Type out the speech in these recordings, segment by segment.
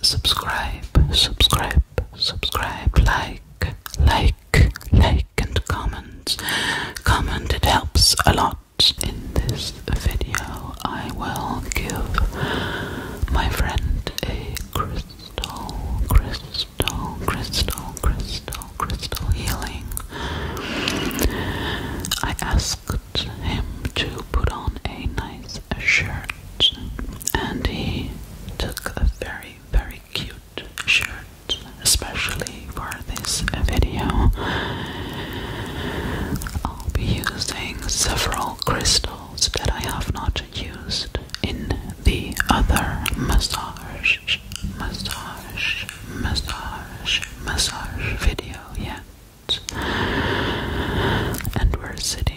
subscribe, subscribe, subscribe, like, like, like, and comment. Comment, it helps a lot. In this video, I will give my friend a crystal, crystal, crystal, crystal, crystal healing. I asked him to put on a nice a shirt, and he took a very, very cute shirt, especially for this video. I'll be using several crystals that I have not used in the other massage, massage, massage, massage video yet. And we're sitting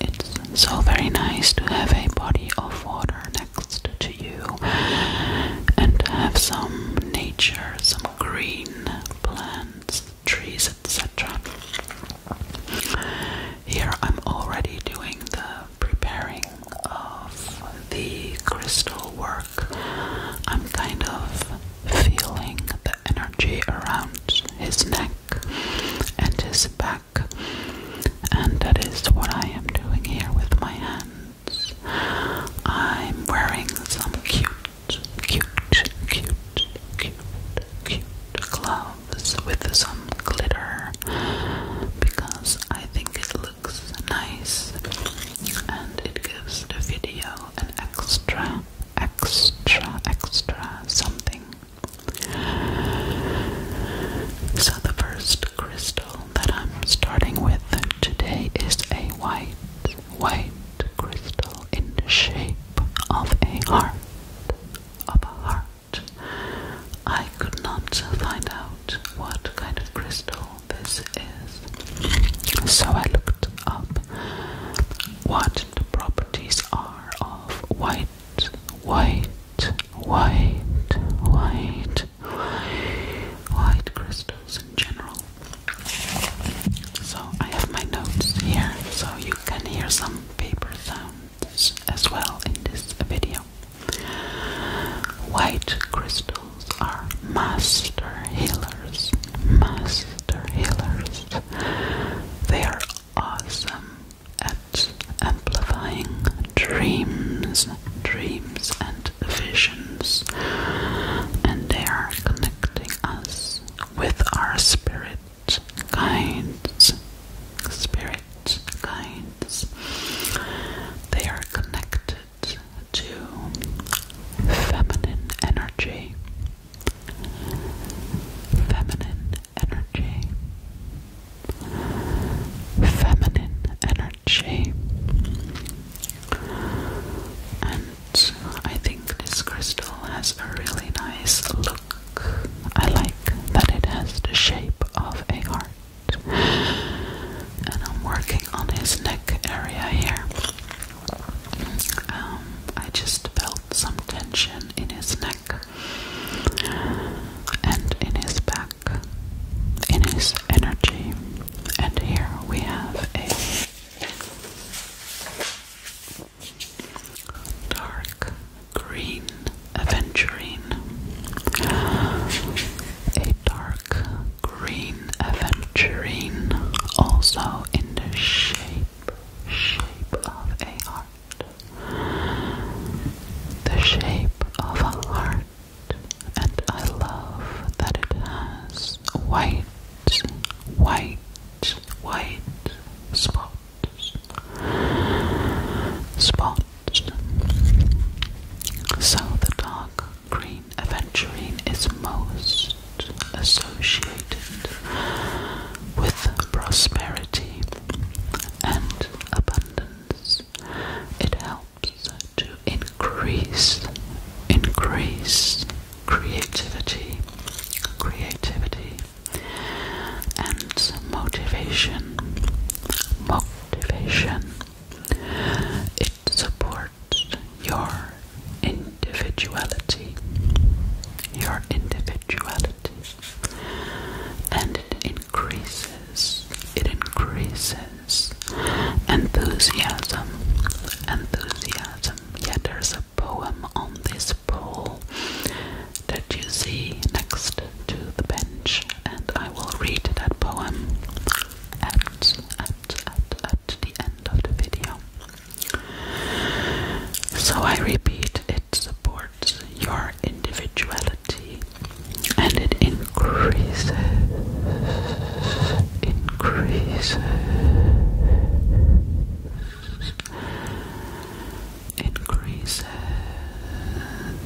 It's so very nice to have a body of water next to you and have some nature, some green plants, trees, etc. Here I'm already doing the preparing of the crystal work. I'm kind of feeling the energy around his neck and his back and that is what I am doing here with my hands. I'm wearing some cute, cute, cute, cute, cute gloves with some glitter because I think it looks nice and it gives the video an extra, extra, extra something. So, the first crystal that I'm starting with today is a white, white crystal in the shape of a heart. Of a heart. I could not find out what kind of crystal this is, so I looked up what the properties are of white white, white, white, white crystals in general. So I have my notes here, so you can hear some paper sounds as well in this video. White crystals are master healers, master healers. They are awesome at amplifying dreams, dreams and visions, and they are connecting us with our spirit guides. Spirit guides. They are connected to feminine energy. Feminine energy, feminine energy, and I think this crystal has a really nice look. I like that it has the shape of a heart. And I'm working on his neck area here. Um, I just felt some tension in his neck, and in his back, in his energy. And here we have a dark green aventurine. A dark green aventurine, also in the shape shape of a heart the shape of a heart, and I love that it has white, white, white spots. Spots. So the dark green aventurine is most associated with prosperity and abundance. It helps to increase, increase creativity, creativity, and motivation, motivation. It supports your individuality, your individuality and it increases, it increases enthusiasm, enthusiasm. Yeah, there's a poem on this pole that you see next to the bench, and I will read that poem at, at, at, at the end of the video. So I repeat it it supports your individuality and it increases, increases, increases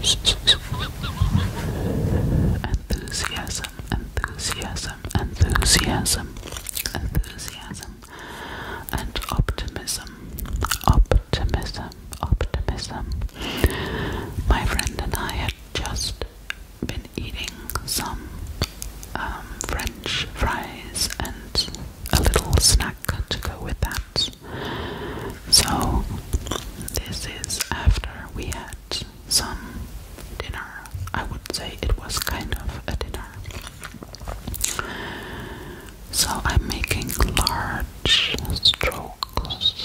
enthusiasm, enthusiasm, enthusiasm, enthusiasm, and optimism, optimism optimism. My friend and I had just been eating some um, French fries and a little snack to go with that. So, this is after we had some dinner. I would say it was kind of a dinner. So I'm making large strokes,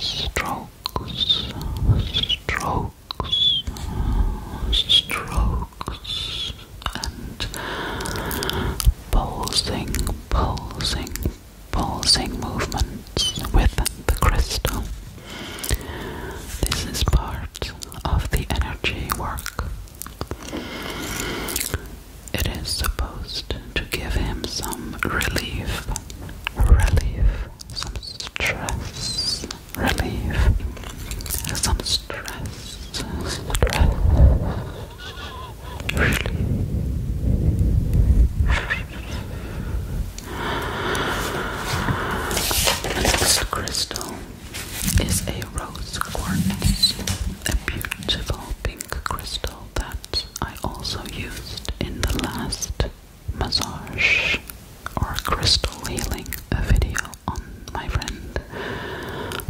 strokes, strokes, strokes, and pulsing, pulsing, pulsing movements with the crystal. This is part of the energy work. It is supposed to give him some relief, relief, some stress, relief, some stress, stress, relief. next crystal is a rose quartz, a beautiful pink crystal that I also used in the last massage or crystal healing video on my friend.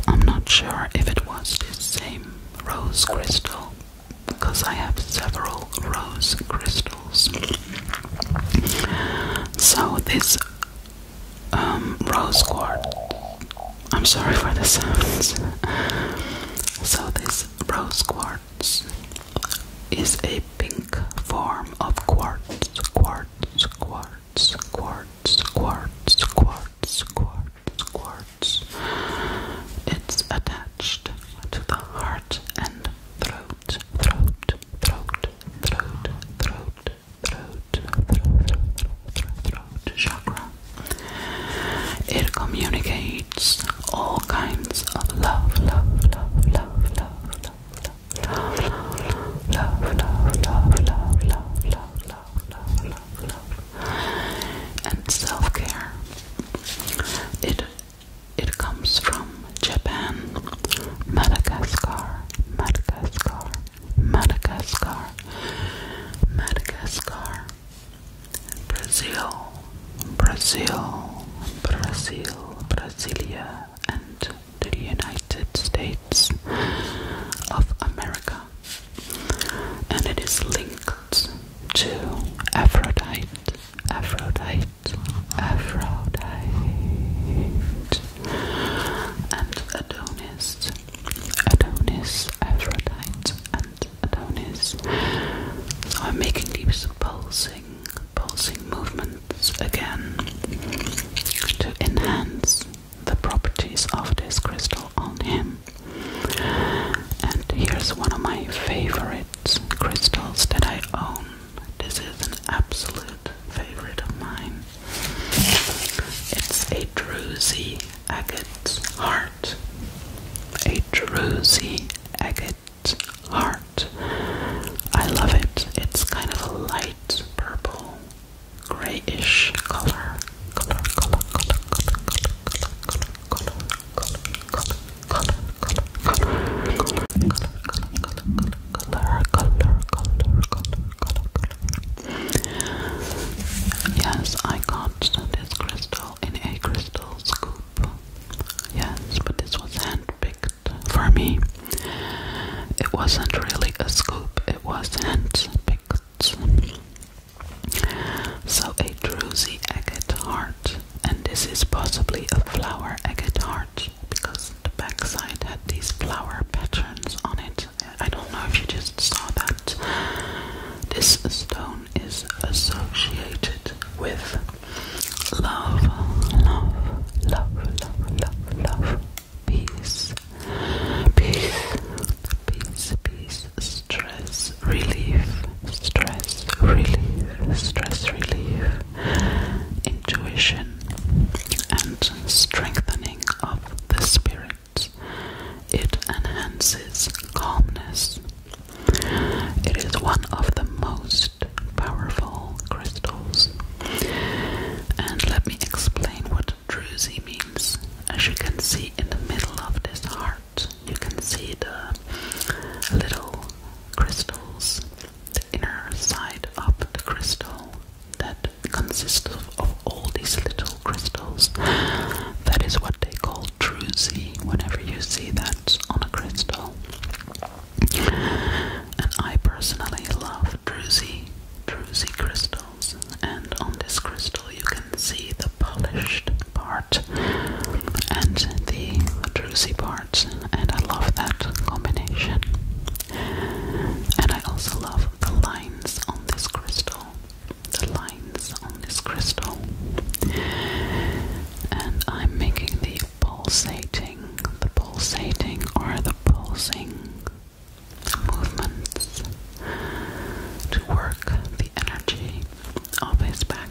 I'm not sure if it was the same rose crystal because I have several rose crystals. So this um, rose quartz I'm sorry for the sounds. So, this rose quartz is a pink form of quartz, quartz, quartz, quartz, quartz, quartz, quartz, quartz. It's attached to the heart and throat, throat, throat, throat, throat, throat, throat, throat, throat, throat, throat chakra. It communicates all kinds of love, love, love, love, love, love, love, love, love, love, love, love, love, love, love, love, and self-care. It it comes from Japan, Madagascar, Madagascar, Madagascar, Madagascar, Brazil, Brazil, Brazil, Brasilia, and the United States of America. And it is linked to Aphrodite, Aphrodite, Aphrodite, and Adonis, Adonis, Aphrodite, and I'm making these pulsing, pulsing movements again to enhance the properties of this crystal on him. And here's one of my favorite crystals that I own. This is an absolute favorite of mine. It's a druzy agate heart, a rosy agate heart. I love it. It's kind of a light purple, grayish color, color, color, color, color, color, color, color, color, color, color, color, color, color, color, color, color, Yes, I got this crystal in a crystal scoop. Yes, but this was handpicked for me. It wasn't really a scoop, it was handpicked. So a druzy agate heart, and this is possibly a flower agate heart because the backside had these flower patterns on it. I don't know if you just saw that. This stone is associated with love, love, love, love, love, love, peace, peace, peace, peace, stress relief, stress relief, stress relief, intuition, and strengthening of the spirit. It enhances calmness. It is one of the most powerful crystals. And let me explain what druzy means. As you can see in the middle of this heart, you can see the little crystals, the inner side of the crystal that consists of all these little crystals. That is what they call druzy, whenever you see that on a crystal. And I personally love druzy, druzy crystals. And on this crystal you can see the polished part and the druzy part. And I love that combination. And I also love the lines on this crystal the lines on this crystal, and I'm making the pulsating, the pulsating or the pulsing movements to work the energy of his back,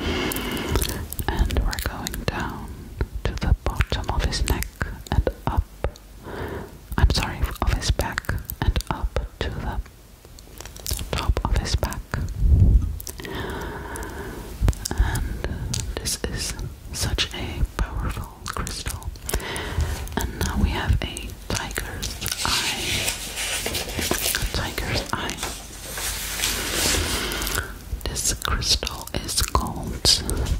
and we're going down to the bottom of his neck and up. I'm sorry, of his back and up to the top of his back. And this is such a powerful crystal. And now we have a tiger's eye. tiger's eye. This crystal is called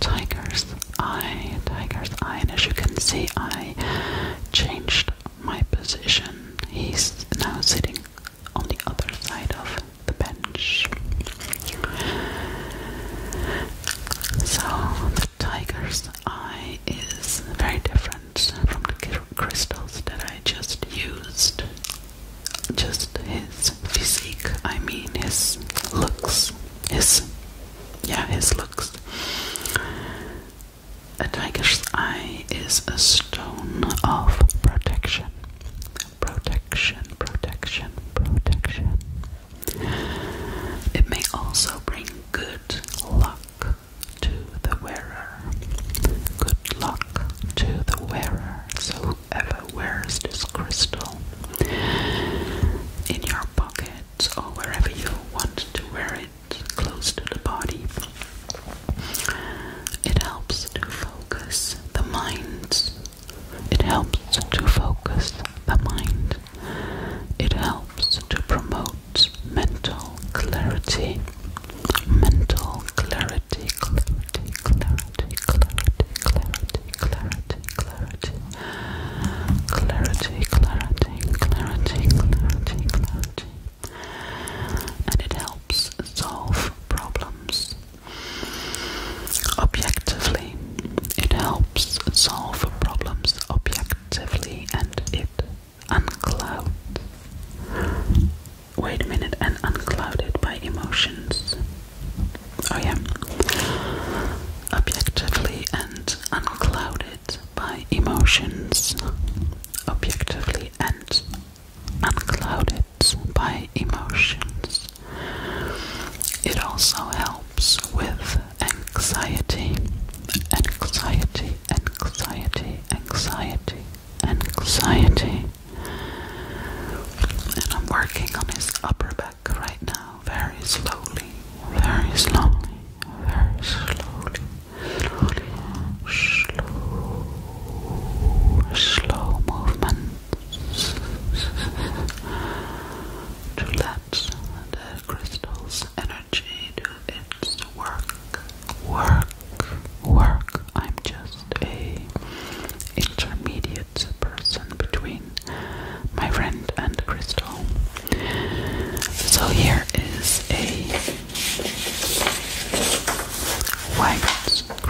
Tiger's Eye. Tiger's Eye, and as you can see, I changed my position. He's now sitting on the other side of the bench. So the tiger's eye is very different from the crystals that I just used. Just his physique, I mean his looks, his yeah, his looks a tiger's eye is a stone of protection. Protection, protection, protection. It may also bring good luck to the wearer. Good luck to the wearer. So, whoever wears this crystal in your pocket or wherever you want to wear it close to the body. It helps to focus the mind. It helps to focus the mind. It helps to promote mental clarity. Mental clarity, clarity, clarity, clarity, clarity, clarity, clarity, clarity, clarity, clarity, clarity, clarity and it helps solve problems. Objectively, it helps solve problems objectively and it unclouds. Wait a minute, and unclouded by emotions. Oh, yeah. Objectively and unclouded by emotions objectively and unclouded by emotions. It also helps with anxiety, anxiety, anxiety, anxiety, anxiety. And I'm working on his upper back right now, very slowly, very slowly, very slowly slow, slow movements to let the crystal's energy do its work, work, work. I'm just a intermediate person between my friend and crystal. So here is a White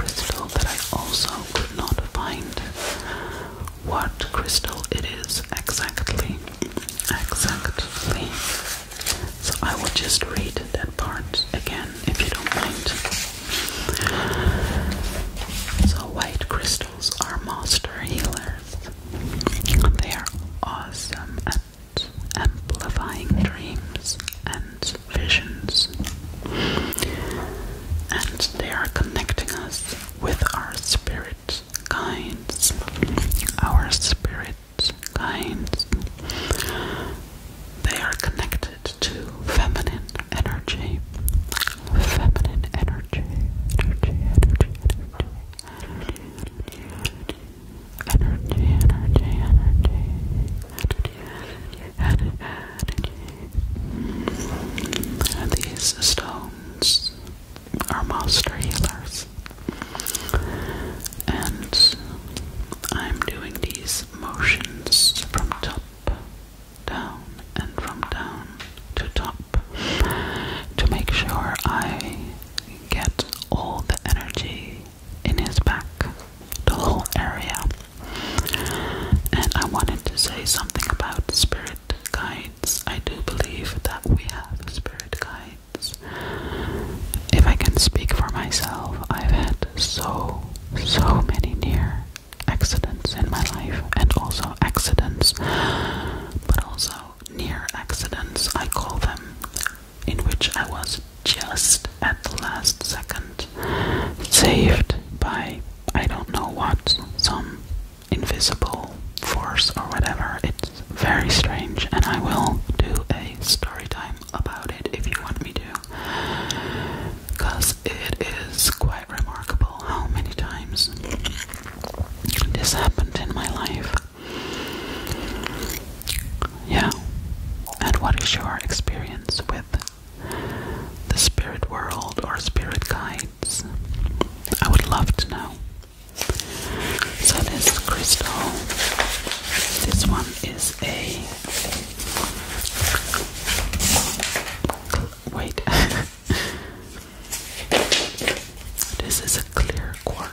crystal that I also could not find what crystal it is exactly. Exactly. So I will just read that part again if you don't mind. So white crystals are master healers. They are awesome amplifying dreams and visions. And they are connecting us with our spirit guides. Our spirit guides. They are connected to feminine energy. Feminine energy. energy, energy, energy energy, energy, energy, energy, energy, energy. these stones are monster healers, and I'm doing these motions from top down and from down to top to make sure I Get all the energy in his back, the whole area. And I wanted to say something about spirit guides. I do believe that we have spirit guides. If I can speak for myself, I've had so, so many near accidents in my life, and also accidents, but also near accidents, I call them in which I was just at the last second saved by I don't know what, some invisible force or whatever. It's very strange, and I will do a story time about it if you want me to. Because it is quite remarkable how many times this happened in my life. Yeah. And what is your experience with the spirit world or spirit guides? I would love to know. So, this crystal, this one is a. Wait. this is a clear quartz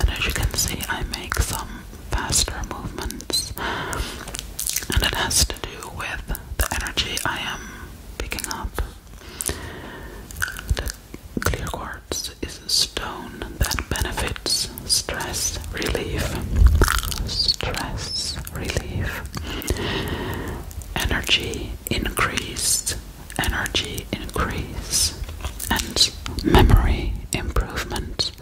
and as you can see, I make some faster movements, and it has to do with the energy I am picking up. The clear quartz is a stone that benefits stress relief, stress relief, energy increase, energy increase and memory improvement,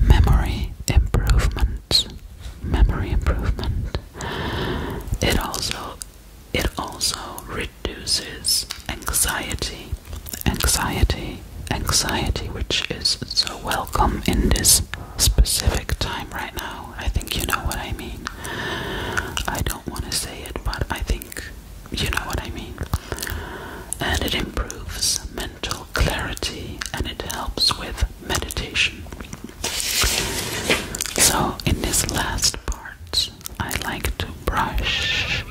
memory improvement, memory improvement. It also it also reduces anxiety, anxiety, anxiety, which is so welcome in this specific time right now. I think you know what I mean. I don't want to say it, but I think you know what I mean. And it improves mental clarity and it helps with meditation. So, in this last part, I like to brush,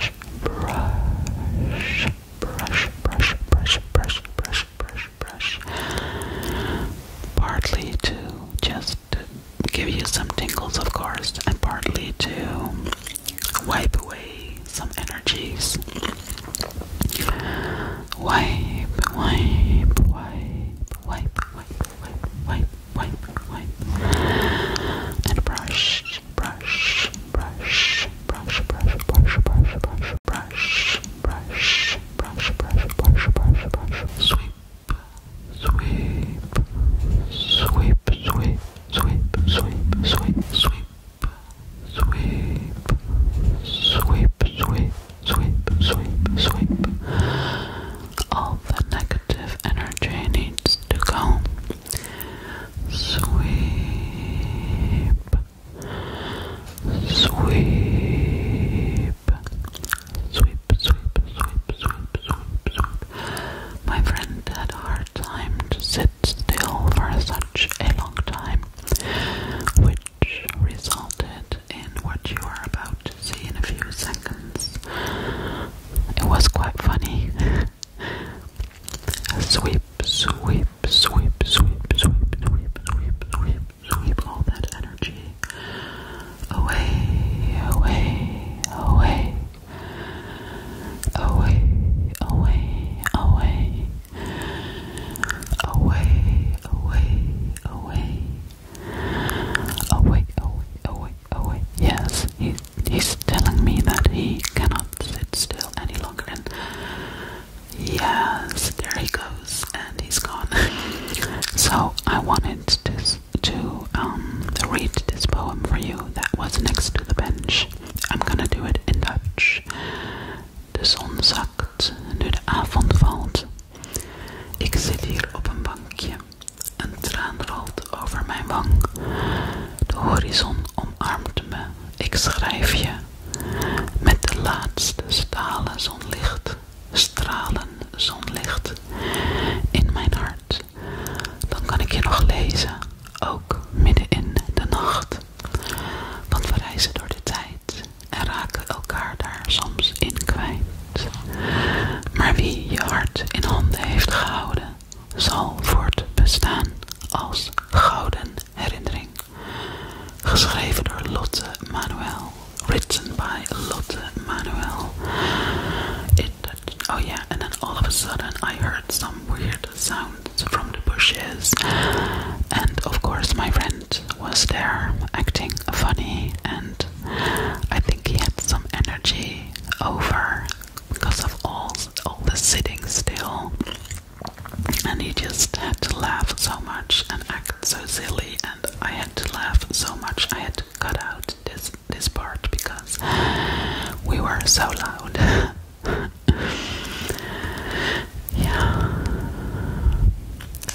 brush, brush, brush, brush, brush, brush, brush, brush. Partly to just give you some tingles, of course, and partly to wipe away some energies. Wipe, wipe, wipe, wipe, wipe, wipe, wipe, wipe, wipe. And brush, brush, brush, brush, brush, brush, brush, brush, brush, brush, brush, brush, brush, brush, brush, sweep. Sweep, sweep, sweep, sweep, sweep, sweep, sweep, sweep, sweep, sweep, sweep, sweep, sweep. All the negative energy needs to go. Sweep, sweep, sweep, sweep, sweep, sweep, sweep. My friend had a hard time to sit still for such a long time, which resulted in what you are about to see in a few seconds. It was quite funny. sweep, sweep, sweep, sweep, sweep, sweep, sweep, sweep, sweep, sweep all that energy away, away, away away, away, away, away, away, away, away, away, away, away. Yes, he, he's telling me that he cannot sit still any longer. And yes, there he goes, and he's gone. so I wanted to to um read this poem for you that was next to the bench. I'm gonna do it in Dutch. De zon zakt nu de avond valt. Ik zit hier op een bankje. Een traan rolt over mijn wang. De horizon omarmt me. Ik schrijf je. Met de laatste stalen zonlicht. Stralen zonlicht. In mijn hart dan kan ik je nog lezen, ook midden in de nacht. Want we reizen door de tijd en raken elkaar daar soms in kwijt. Maar wie je hart in handen heeft gehouden, zal voortbestaan als gouden herinnering. Geschreven door Lotte Manuel. Written by Lotte Manuel. It Oh, yeah, and then all of a sudden I heard some weird sounds from the bushes, and of course, my friend was there acting funny, and I think he had some energy over because of all, all the sitting still. And he just had to laugh so much and act so silly, and I had to laugh so much. I had to cut out this this part because we were so loud. yeah.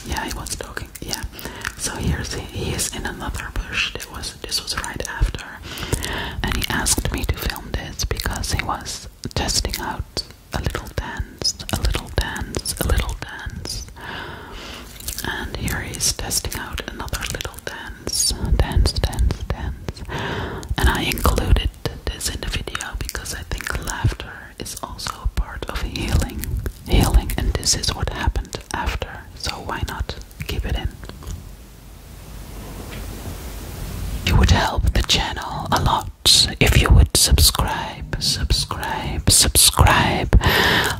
Yeah, he was talking. Yeah. So here's he, is in another bush. That was this was right after, and he asked me to film this because he was testing out a little dance, a little dance, a little dance, and here he is testing out another little dance, dance, dance, dance. And I included this in the video because I think laughter is also a part of healing. Healing, and this is what happened after, so why not keep it in? It would help the channel a lot if you would subscribe, subscribe, subscribe,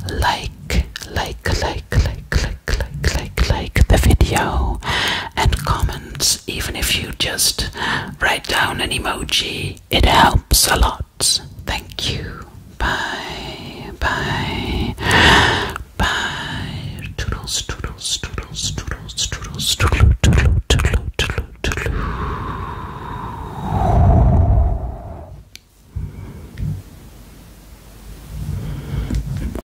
like, like, like, like, like. Click, like, like, the video and comments. Even if you just write down an emoji, it helps a lot. Thank you. Bye, bye, bye. Toodles, toodles, toodles, toodles, toodles, toodle, toodle, toodle, toodle.